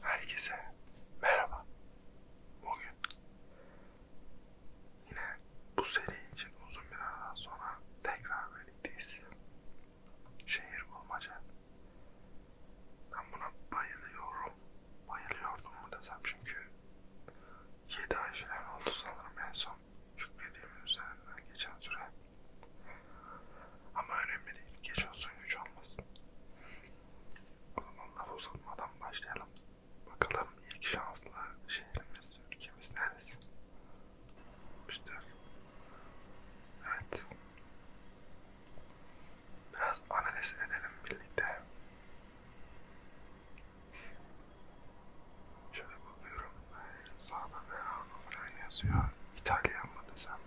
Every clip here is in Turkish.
Herkese merhaba. Bugün yine bu seri için uzun bir aradan sonra tekrar birlikteyiz. Şehir bulmaca. Ben buna bayılıyorum. Bayılıyordum mu desem çünkü 7 ay falan oldu sanırım en son yüklediğimin üzerinden geçen süre. Ama önemli değil. Geç olsun güç olmasın. O zaman laf uzatmadan başlayalım. Bakalım ilk şanslı şehrimiz, ülkemiz neresi? İşte. Evet. Biraz analiz edelim birlikte. Şöyle bakıyorum. Sağda Verano falan yazıyor. İtalyan mı desem?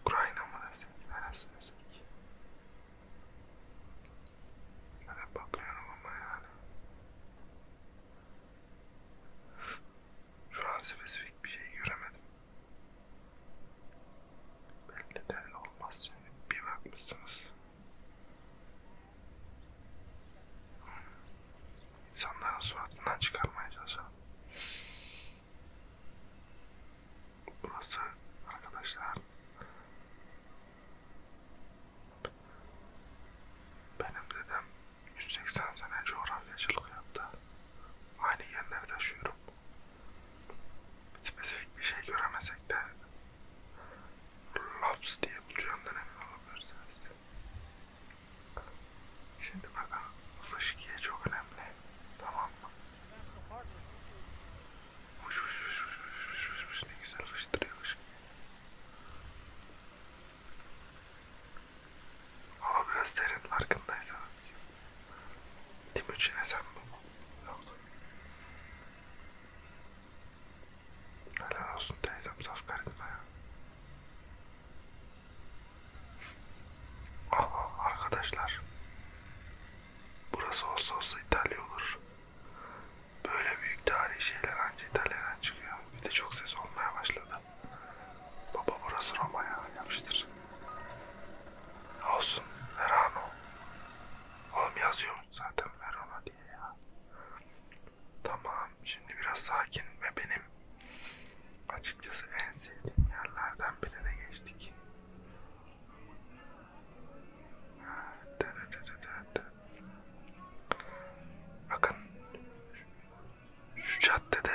Ukrayna mı desek? Neresi desek? Böyle bakıyorum ama yani. Şu an spesifik bir şey göremedim. Belki de olmaz yani. Bir bakmışsınız insanların suratından çıkarmaya çalışalım. Burası arkadaşlar benim dedem 180 sene coğrafyacılık yaptı. Aynı genleri taşıyorum. Spesifik bir şey göremesek de Loves diye bulacağımdan emin olabilirsiniz. Şimdi bak fışkiye çok önemli. Tamam mı? Fış fış fış fış fış fış fış ne güzel fıştırıyor fışkiye. Hava biraz serin farkındaysanız. Timuçin'e sen mi? Yok. Helal olsun teyzem saf karizma ya. Ama arkadaşlar burası olsa olsa İtalya olur. Böyle büyük tarihi şeyler anca İtalya'dan çıkıyor. Bir de çok ses olmaya başladı. Baba burası Roma ya yapıştır. Olsun Verano. Oğlum yazıyor zaten Verona diye ya. Tamam şimdi biraz sakin ve benim açıkçası en sevdiğim yerlerden birine geçtik. Bakın şu caddede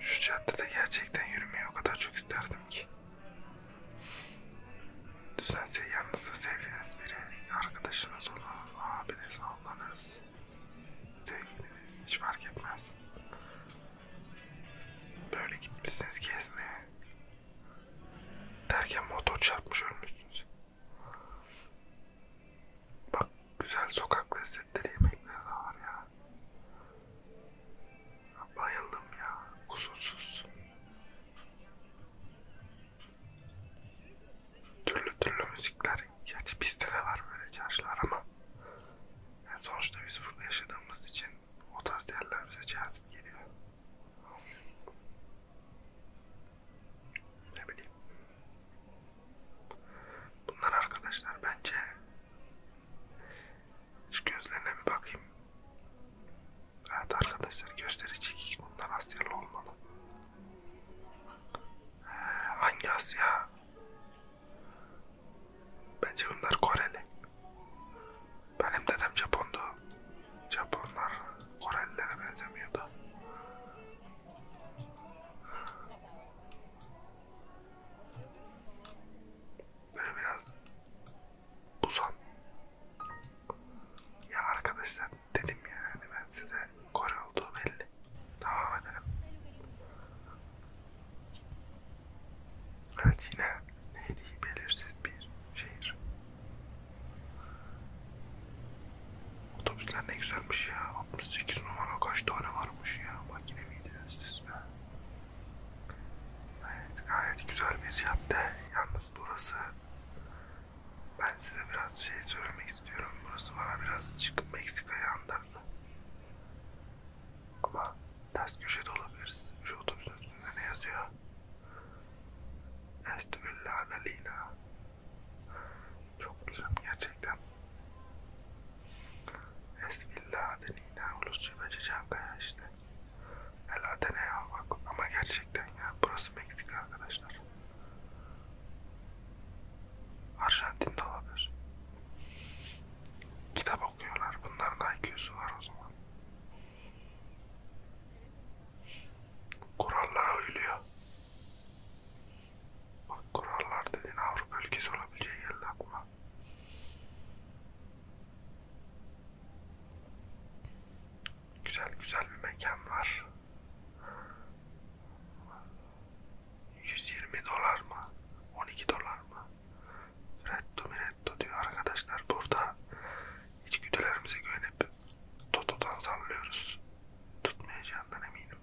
şu caddede gerçekten yürümeyi o kadar çok isterdim ki Düzense yanınızda sevdiğiniz biri, arkadaşınız olur, abiniz, ablanız, sevgiliniz hiç fark etmez. Böyle gitmişsiniz gezmeye. Derken motor çarpmış ölmüşsünüz. Bak güzel sokak lezzetleri yemekleri de var ya. Bayıldım ya kusursuz. Türlü türlü müzikler. Gerçi bizde de var böyle çarşılar ama yani sonuçta biz burada yaşadığımız için o tarz yerler bize cazip geliyor. Ne bileyim. Bunlar arkadaşlar bence hiç gözlerine bir bakayım. Evet arkadaşlar gösterecek bunlar Asyalı olmalı. Ee, hangi Asya? Bence bunlar Koreli. Benim dedem Japondu. Japonlar Korelilere benzemiyordu. Böyle biraz Busan. Ya arkadaşlar dedim ya yani ben size Kore olduğu belli. Devam edelim. Evet yine neydi belirsiz bir şehir. Otobüsler ne güzelmiş ya. 68 numara kaç tane varmış ya. Makine miydiniz siz be? Evet, gayet güzel bir cadde. Yalnız biraz burası ben size biraz şey söylemek istiyorum. Burası bana biraz çıkıp Meksika'ya andırdı. Ama ters köşede olabiliriz. Şu otobüsün üstünde ne yazıyor? Estübella Adalina. Çok güzel gerçekten. Estübella Adalina. Ulusça Bacı Çankaya işte. Helal ne ya bak ama gerçekten ya burası Meksika arkadaşlar. Arjantin'de olabilir. Kitap okuyorlar. Bunların da IQ'su var o zaman. Kurallara uyuluyor. Bak kurallar dediğin Avrupa ülkesi olabileceği geldi aklıma. Güzel güzel bir mekan var. 120 dolar mı? 12 dolar mı? Retto miretto diyor arkadaşlar. Burada içgüdülerimize güvenip totodan sallıyoruz. Tutmayacağından eminim.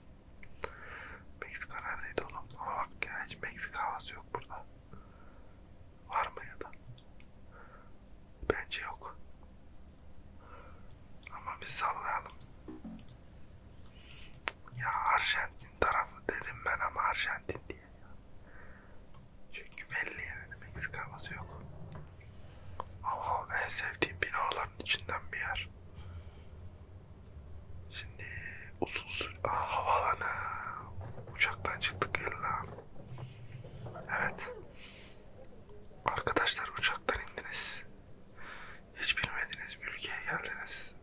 Meksika neredeydi oğlum? Ama bak ya hiç Meksika havası yok burada. Var mı ya da? Bence yok. Ama biz sallayalım. Ya Arjantin tarafı dedim ben ama Arjantin diye ya. Çünkü belli yani Meksika havası yok. Ama en sevdiğim binaların içinden bir yer. Şimdi uzun süre... Aa havaalanı. Uçaktan çıktık illa. Evet. Arkadaşlar uçaktan indiniz. Hiç bilmediğiniz bir ülkeye geldiniz.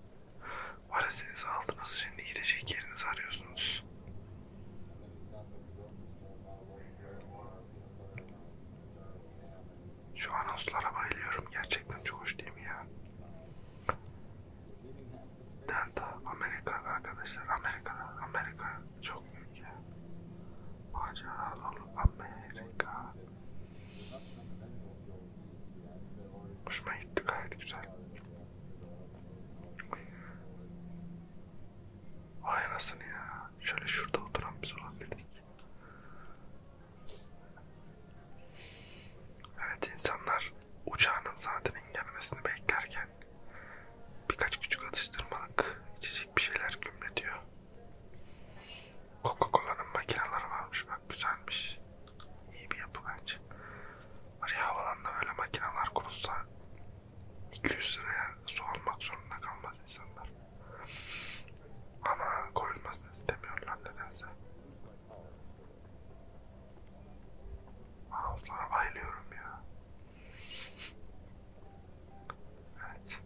Valizinizi aldınız. Şimdi gidecek yerinizi arıyorsunuz. Şu anonslara bayılıyorum. Gerçekten çok hoş değil mi ya? Delta, Amerika arkadaşlar, Amerika'da, Amerika çok büyük ya. Maceralı Amerika. Hoşuma gitti gayet güzel. Vay anasını ya. Şöyle şurada oturan biz olabilirdik. Evet insanlar uçağının saatinin gelmesini beklerken birkaç küçük atıştırmalık içecek bir şeyler gümletiyor. Coca-Cola'nın makineleri varmış bak güzelmiş. İyi bir yapı bence. Var ya havalanda böyle makineler kurulsa 200 liraya su almak zorunda kalmaz insanlar. Ama koyulmasını istemiyorlar nedense. Mouse'lara bayılıyorum ya. evet.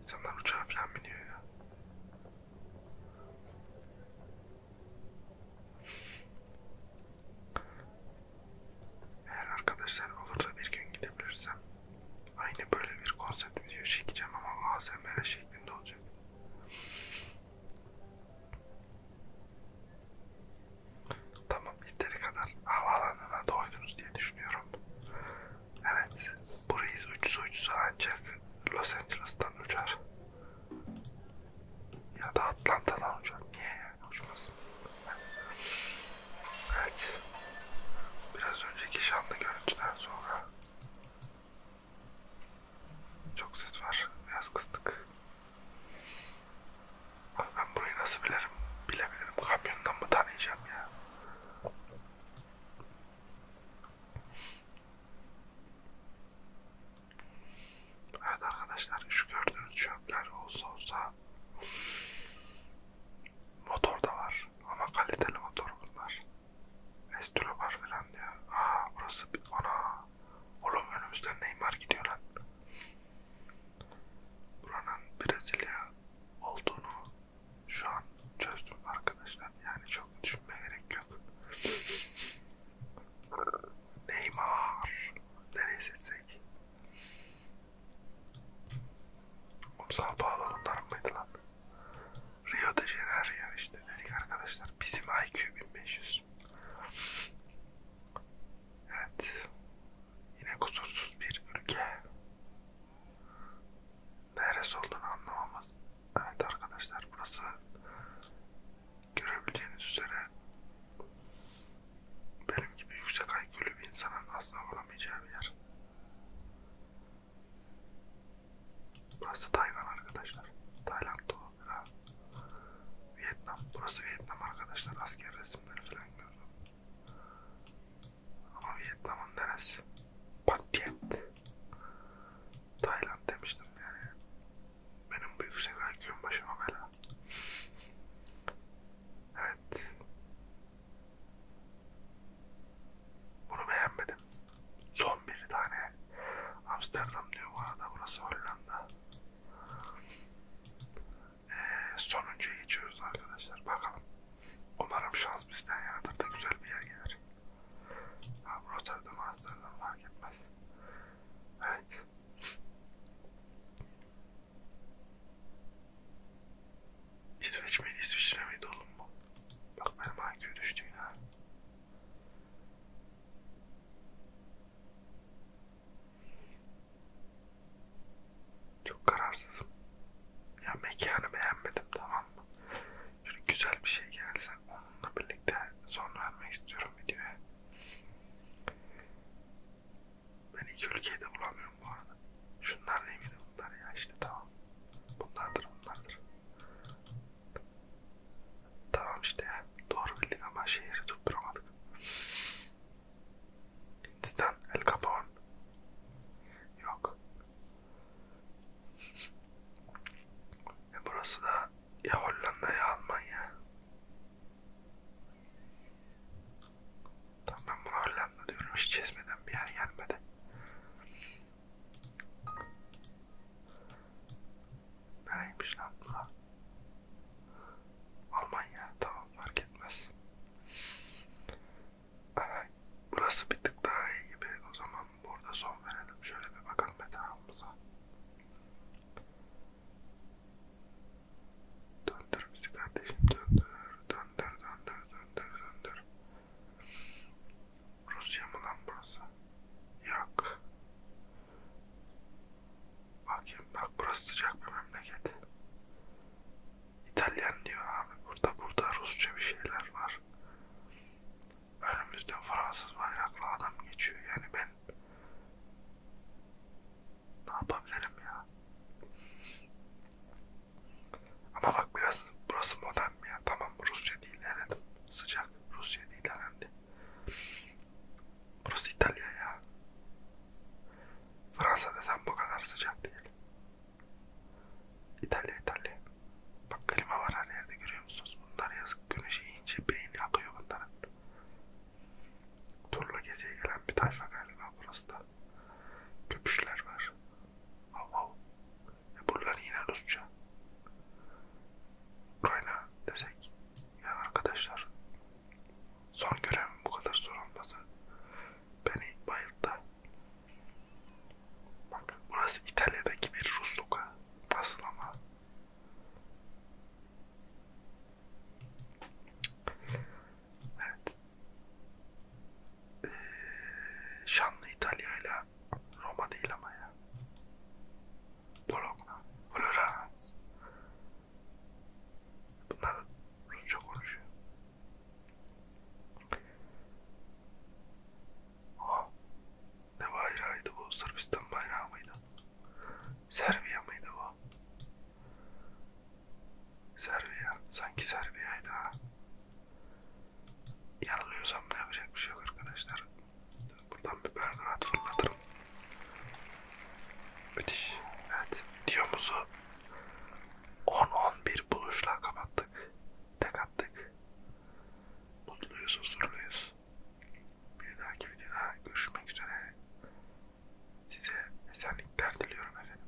İnsanlar uçağa falan biniyor ya. Eğer arkadaşlar olur da bir gün gidebilirsem aynı böyle bir konsept video çekeceğim ama ASMR şeklinde olacak. Tamam yeteri kadar havaalanına doydunuz diye düşünüyorum. Evet bu reis uçsa uçsa ancak Los Angeles'tan uçar. Ya da Atlanta'dan uçar. Niye yani uçmaz? Evet. Biraz önceki şanlı görüntüden sonra çok ses var. Biraz kızdık. Abi ben burayı nasıl bilirim? Bilebilirim. Kamyondan mı tanıyacağım ya? Evet arkadaşlar şu gördüğünüz çöpler olsa olsa motor da var ama kaliteli motor bunlar. Restore var falan diyor. Aa burası bir... Ana! Oğlum önümüzden Neymar gidiyor lan. Buranın Brezilya olduğunu şu an çözdüm arkadaşlar. Yani çok düşünmeye gerek yok. Neymar. Nereye seçsek? Oğlum sağ bağlı mıydı lan? Rio de Janeiro işte dedik arkadaşlar. Bizim IQ 1500. Evet. Yine kusursuz bir ülke. Neresi olduğunu anlamamız. Evet arkadaşlar burası görebileceğiniz üzere benim gibi yüksek IQ'lü bir insanın asla bulamayacağı bir yer. Burası Tayvan arkadaşlar. Tayland Doğu. Ha. Vietnam. Burası Vietnam arkadaşlar. Asker resimleri falan gördüm. Ama Vietnam'ın neresi? Patient. Tayland demiştim yani. Benim bu yüksek IQ'm başıma bela. Evet. Bunu beğenmedim. Son bir tane. Amsterdam diyor bu arada. Burası Hollanda. Ee, sonuncuyu geçiyoruz arkadaşlar. Bakalım. Umarım şans bizden yanadır da güzel bir yer gelir. Ha, Rotterdam, Amsterdam fark etmez. Evet. İsveç miydi? İsviçre miydi oğlum bu? Bak benim IQ düştü yine. Çok kararsızım. Ya mekanı beğenmedim tamam mı? Şöyle güzel bir şey gelse onunla birlikte son vermek istiyorum videoya. Ben iki ülkeyi de bulamıyorum bu arada. Şunlar değil miydi bunlar ya işte tamam. Bunlardır bunlardır. Tamam işte ya. Doğru bildik ama şehri tutturamadık. Hindistan, El Capone. Yok. E burası da ya Hollanda ya Almanya. Tamam ben bunu Hollanda diyorum. Hiç çizmeden bir yer gelmedi. Neymiş lan buna? Almanya tamam fark etmez. Ay, burası bir tık daha iyi gibi. O zaman burada son verelim. Şöyle bir bakalım etrafımıza. Döndür bizi kardeşim döndür. Döndür döndür döndür döndür. Rusya mı lan burası? Yok. Bakayım bak burası sıcak bir memleket. İtalyan diyor abi. Burada burada Rusça bir şeyler var. Önümüzde Fransız bayraklı adam geçiyor. Yani ben ne yapabilirim ya? Ama bak biraz burası modern mi ya? Tamam Rusya değil evet. Sıcak Rusya değil herhalde. Burası İtalya ya. Fransa desem bu kadar sıcak değil. İtalya İtalya. Bak klima var her yerde görüyor musunuz? Bunlar yazık güneş yiyince beyni akıyor bunların. Turla geziye gelen bir tayfa galiba burası da. Köpüşler var. Hav E buralar yine Rusça. Ukrayna desek. Ya arkadaşlar. Son görevim bu kadar zor olması. Beni bayılttı. Bak burası İtalya'daki bir Rus sokağı. Nasıl ama? Evet. Şanlı İtalya ile Roma değil ama ya. Bologna, Florence. Bunlar Rusça konuşuyor. Aha. Ne bayrağıydı bu? Sırbistan bayrağı mıydı? Serbiya mıydı bu? Serbiya. Sanki Serbiya'ydı ha. Yanılıyorsam da yapacak bir şey yok arkadaşlar. Buradan bir berdurat fırlatırım. Müthiş. Evet videomuzu 10-11 buluşla kapattık. Tek attık. Mutluyuz, huzurluyuz. Bir dahaki videoda görüşmek üzere. Size esenlikler diliyorum efendim.